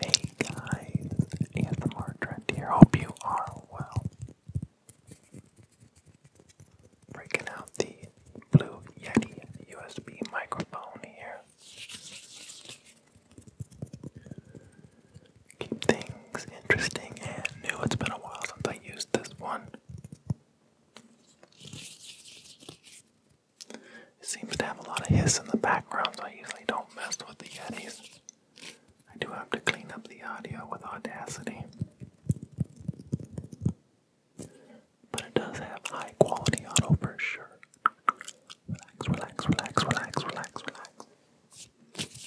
Hey guys, ASMR Trent here. Hope you are well. Breaking out the Blue Yeti USB microphone here. Keep things interesting and new. It's been a while since I used this one. It seems to have a lot of hiss in the background, so I usually don't mess with the Yetis. I do have to clean up the audio with Audacity. But it does have high quality audio for sure. Relax, relax, relax, relax, relax, relax.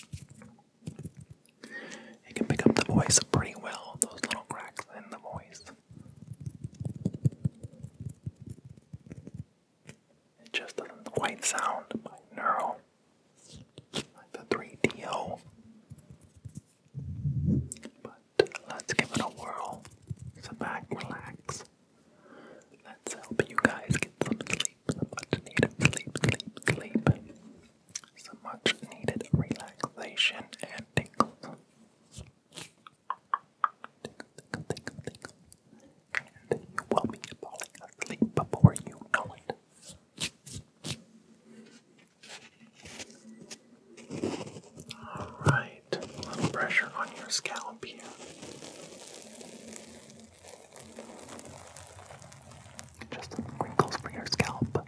It can pick up the voice pretty well, those little cracks in the voice. It just doesn't quite sound like neural, like the 3DO. But let's give it a whirl. Sit back, relax. Let's help you guys get some sleep, some much needed sleep, sleep, sleep some much needed relaxation and tingles. And you will be falling asleep before you know it. Alright, a little pressure on your scalp here. Just some wrinkles for your scalp.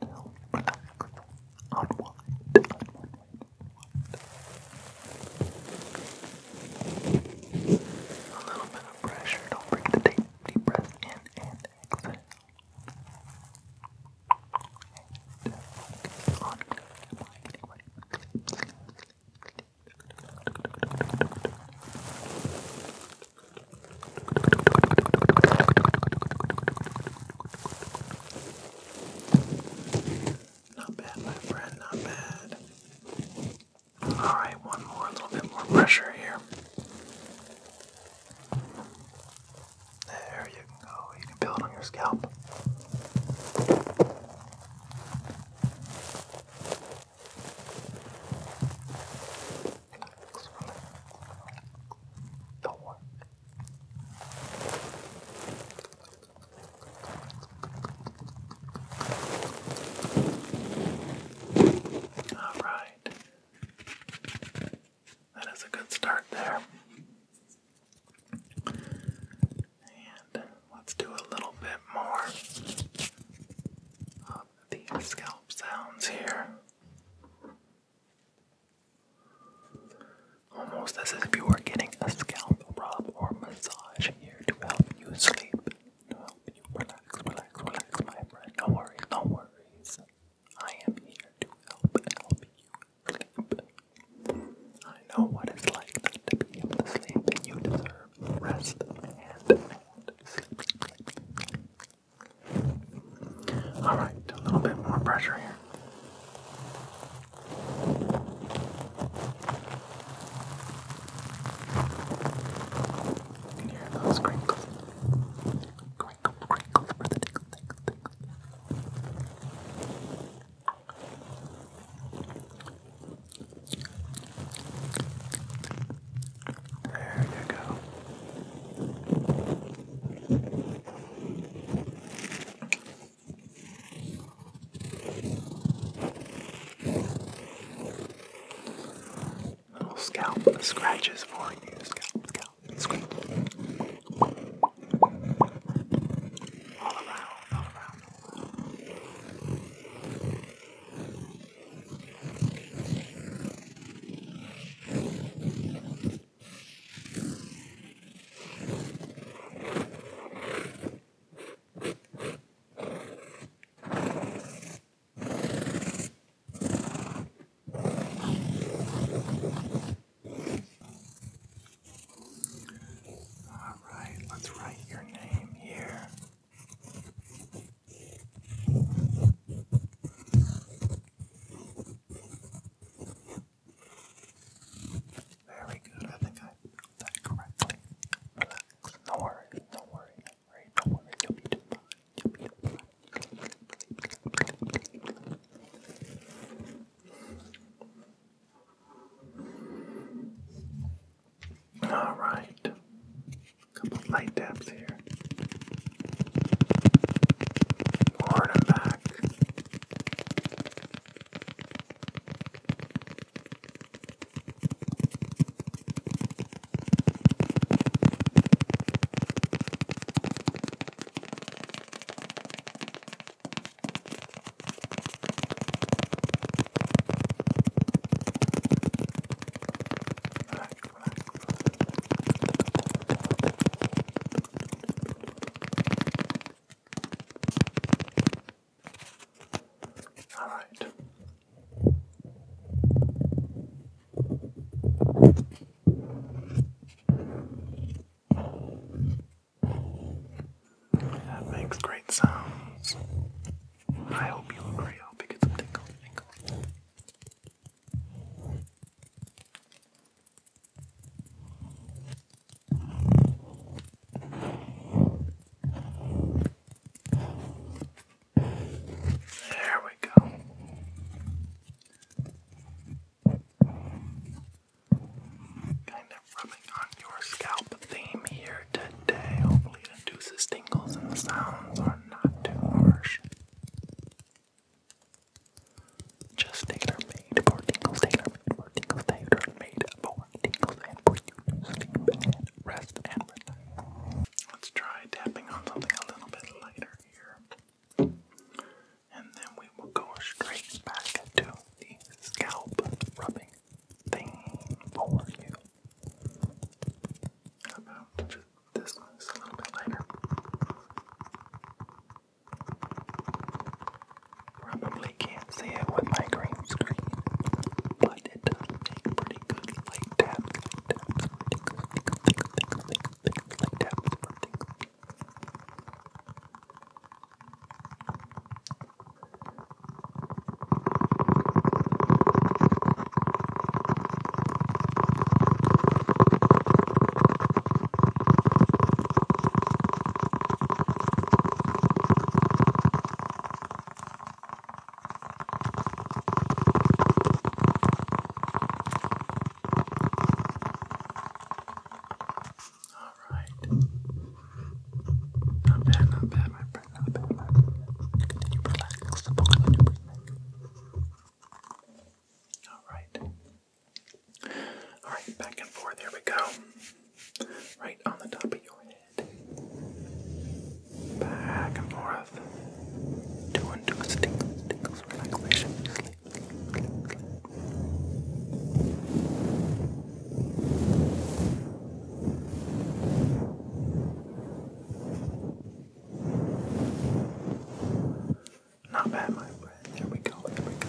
Relax. Unwind. Unwind. Unwind. A little bit of pressure. Don't break the tape. Deep breath in and exhale. And on. Sleep, sleep, sleep, sleep. Not bad, my friend, not bad. Alright, one more, a little bit more pressure here. There you go, you can build on your scalp. All right. That is a good start there. And let's do a little bit more of the scalp sounds here. Almost as if you were getting a scalp rub or massage here to help you sleep. To help you relax, relax, relax, my friend. No worries, no worries. I am here to help help you sleep. I know what it's like not to be able to sleep, and you deserve rest and, sleep, all right, a little bit more pressure here. hear those crinkles. Crinkle, crinkle for the tickle, tickle, tickle. There you go. Little scalp scratches for you. Scalp, scalp, scratch. All around, all around. All right, let's write your name here. Very good. I think I did that correctly. Relax. No worries. No worries. No worries. No worries. You'll be doing fine. You'll be doing fine. All right. Couple light taps here. Forward and back. All right. That makes great sounds. I hope you look great. I hope you get some tinkle, There we go. Kind of rubbing on your scalp theme here for today. Hopefully, it induces tingles and the sounds are not too harsh. Just tailor made for tingles, tailor made for tingles, tailor made for tingles, and for you to sleep and rest and relax. Let's try tapping on something a little bit lighter here. And then we will go straight back to the scalp rubbing thing for you about Probably can't see it with my green screen, but it does make pretty good Light taps, all right. Not bad, not bad, my Alright. Alright, back and forth. Here we go. Right on the top of your head. Back and forth. Doing tingles, tingles, tingles, relaxation, not bad, my friend. There we go. There we go.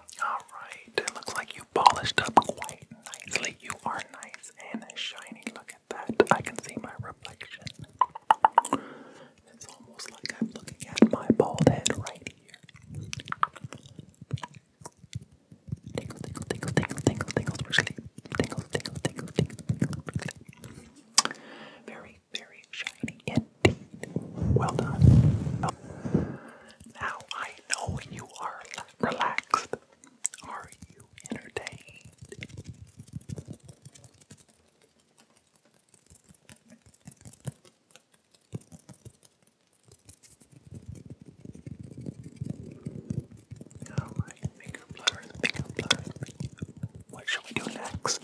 Alright, it looks like you polished up quite nicely. You are nice and shiny. Look at that. I can see my reflection. It's almost like I'm looking at my bald head right here. Tingle, tingle, tingle, tingle, tingle, tingle for sleep. Tingle, tingle, tingle, tingle, tingle for sleep. Very, very shiny and well done. Now I know you are relaxed. Are you entertained? Alright, finger blur, finger blur. What shall we do next?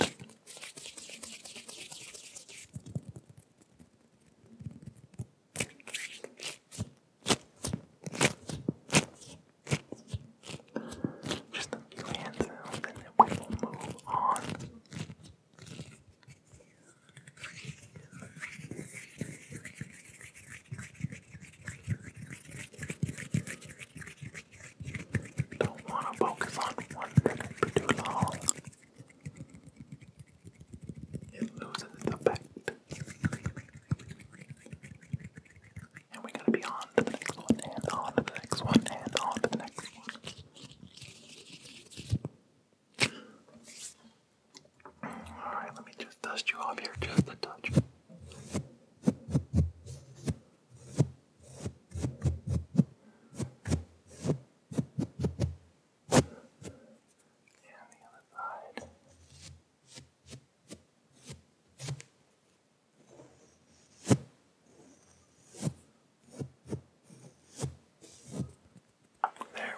Just a few hand and then we will move on. Don't want to focus on one minute for too long. It loses its effect. And we're gonna be on to the next one, and on to the next one, and on to the next one. Alright, let me just dust you off here just a touch. There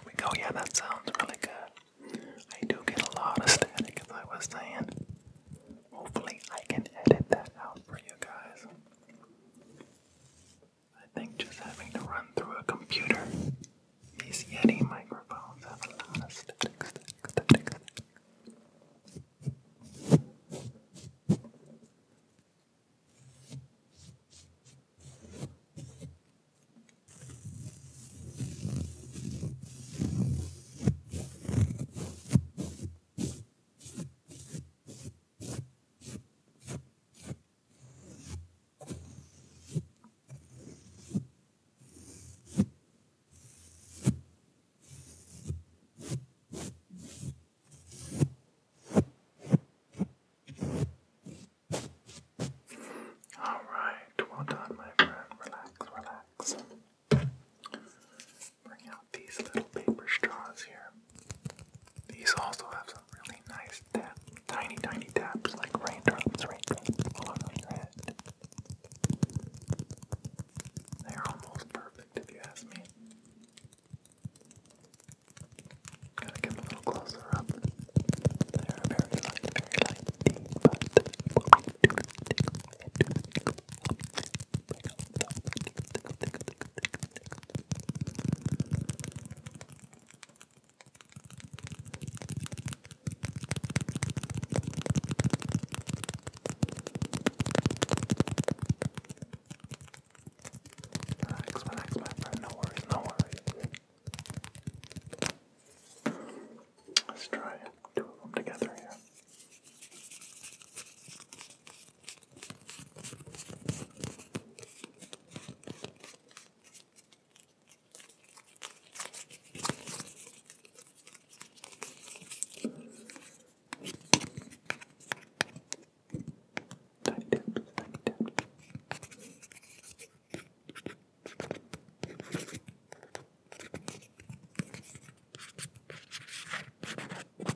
we go. Yeah, that sounds really good. I do get a lot of static, as I was saying. Hopefully, I can edit that out for you guys. I think just having to run through a computer, these Yeti microphones have a lot all right, well done, my friend. Relax, relax bring out these little paper straws here. These also have some really nice tiny, tiny taps like raindrops, right all They're almost perfect if you ask me. Gotta get a little closer up. They're very light, very light, Relax, relax, my friend. No worries, no worries. Let's try two of them together here. Tiny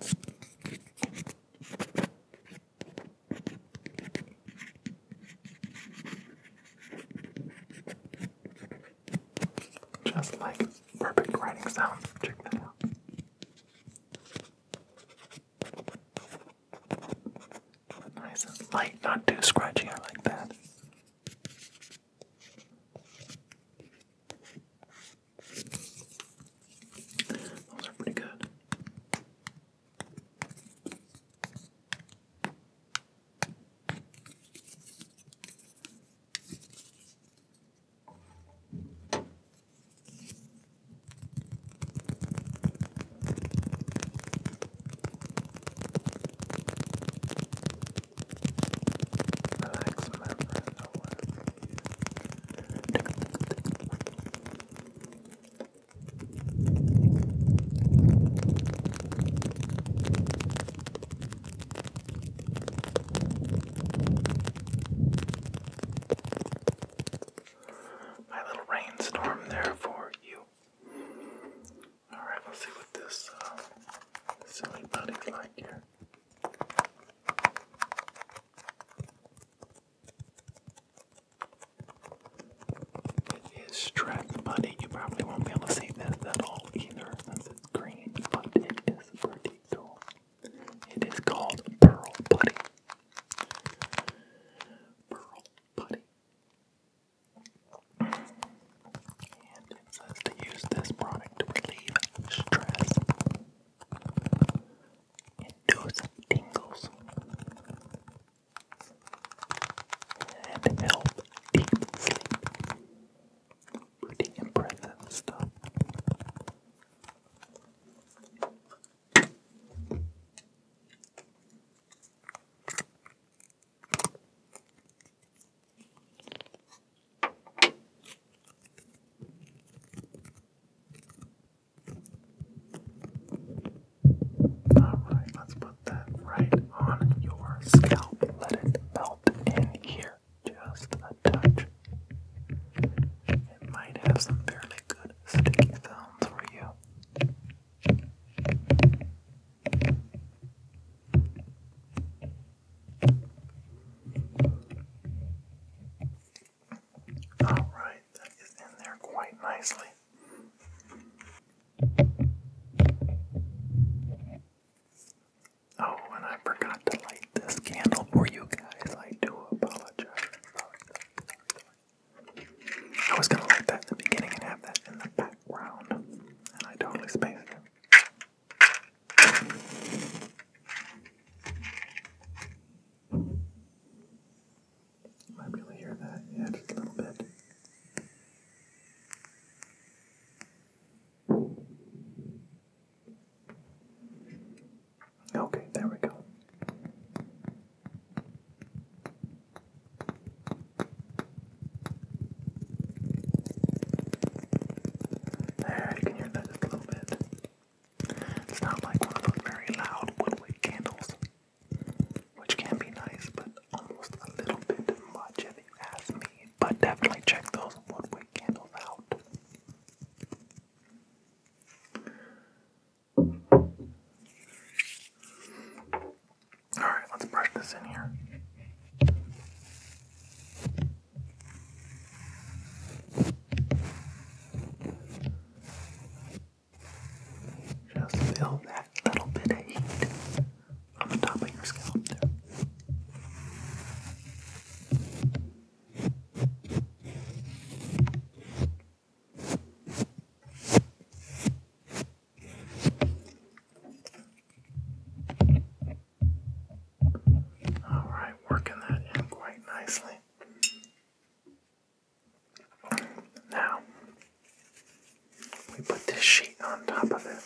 taps, tiny taps. Just like perfect writing sound. Check that out. Nice and light, not too scratchy. I like that. Those are pretty good. Relax, my friend, my little rainstorm there for you. Alright, right, let's see what this uh, silly buddy's like here. It is stress money. You probably won't be able to see this at all either since it's green, but it is pretty cool. It is called Pearl Buddy. Pearl Putty. And it says to use this product to relieve stress and do tingles and help deep Pretty impressive stuff. Alright, let's put that right on your scalp. Let it melt in here just a touch. It might have some fairly good sticky sounds for you. Alright, that is in there quite nicely. Oh, and I forgot to light this candle for you guys. I do apologize. I was going to light that in the beginning and have that in the background, and I totally spaced you might hear that, yeah, just a little bit. Okay, there we go. There, you can hear that just a little bit. It's not like one of those very loud woodwick candles, which can be nice, but almost a little bit much if you ask me. But definitely check those woodwick candles out. Alright, let's brush this in here. Just feel that little bit of heat on the top of your scalp there. All right, working that in quite nicely. Now, we put this sheet on top of it.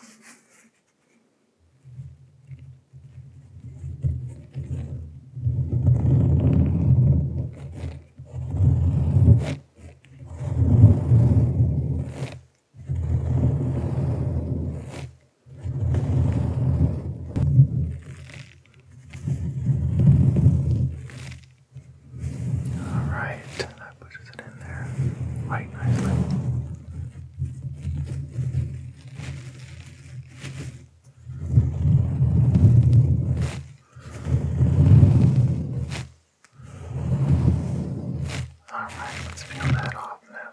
All right, that pushes it in there quite nicely. All right, let's peel that off now.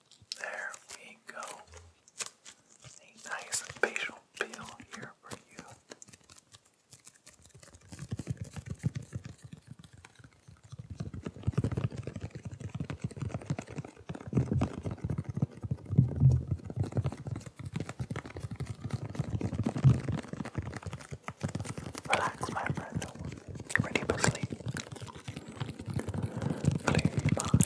There we go. A nice facial peel here for you. Relax, my friend. ready for sleep. Play by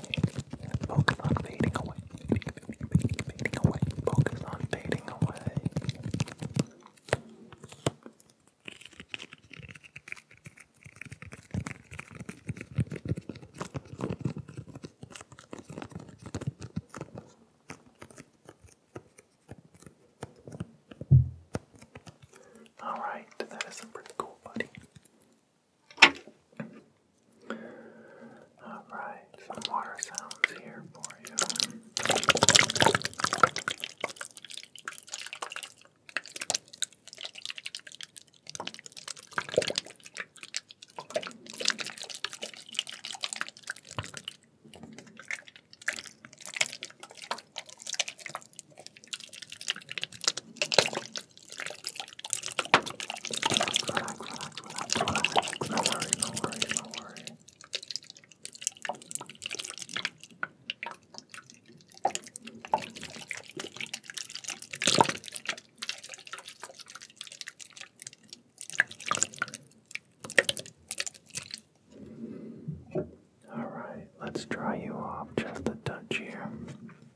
Focus on fading away. Fading away. Focus on fading away. All right, that is a pretty cool buddy. Alright, some water sounds here for you. All right, let's dry you off just a touch here.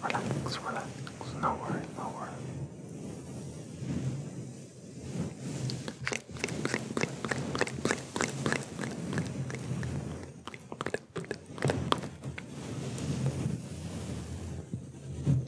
Relax, relax, no worry, no worry.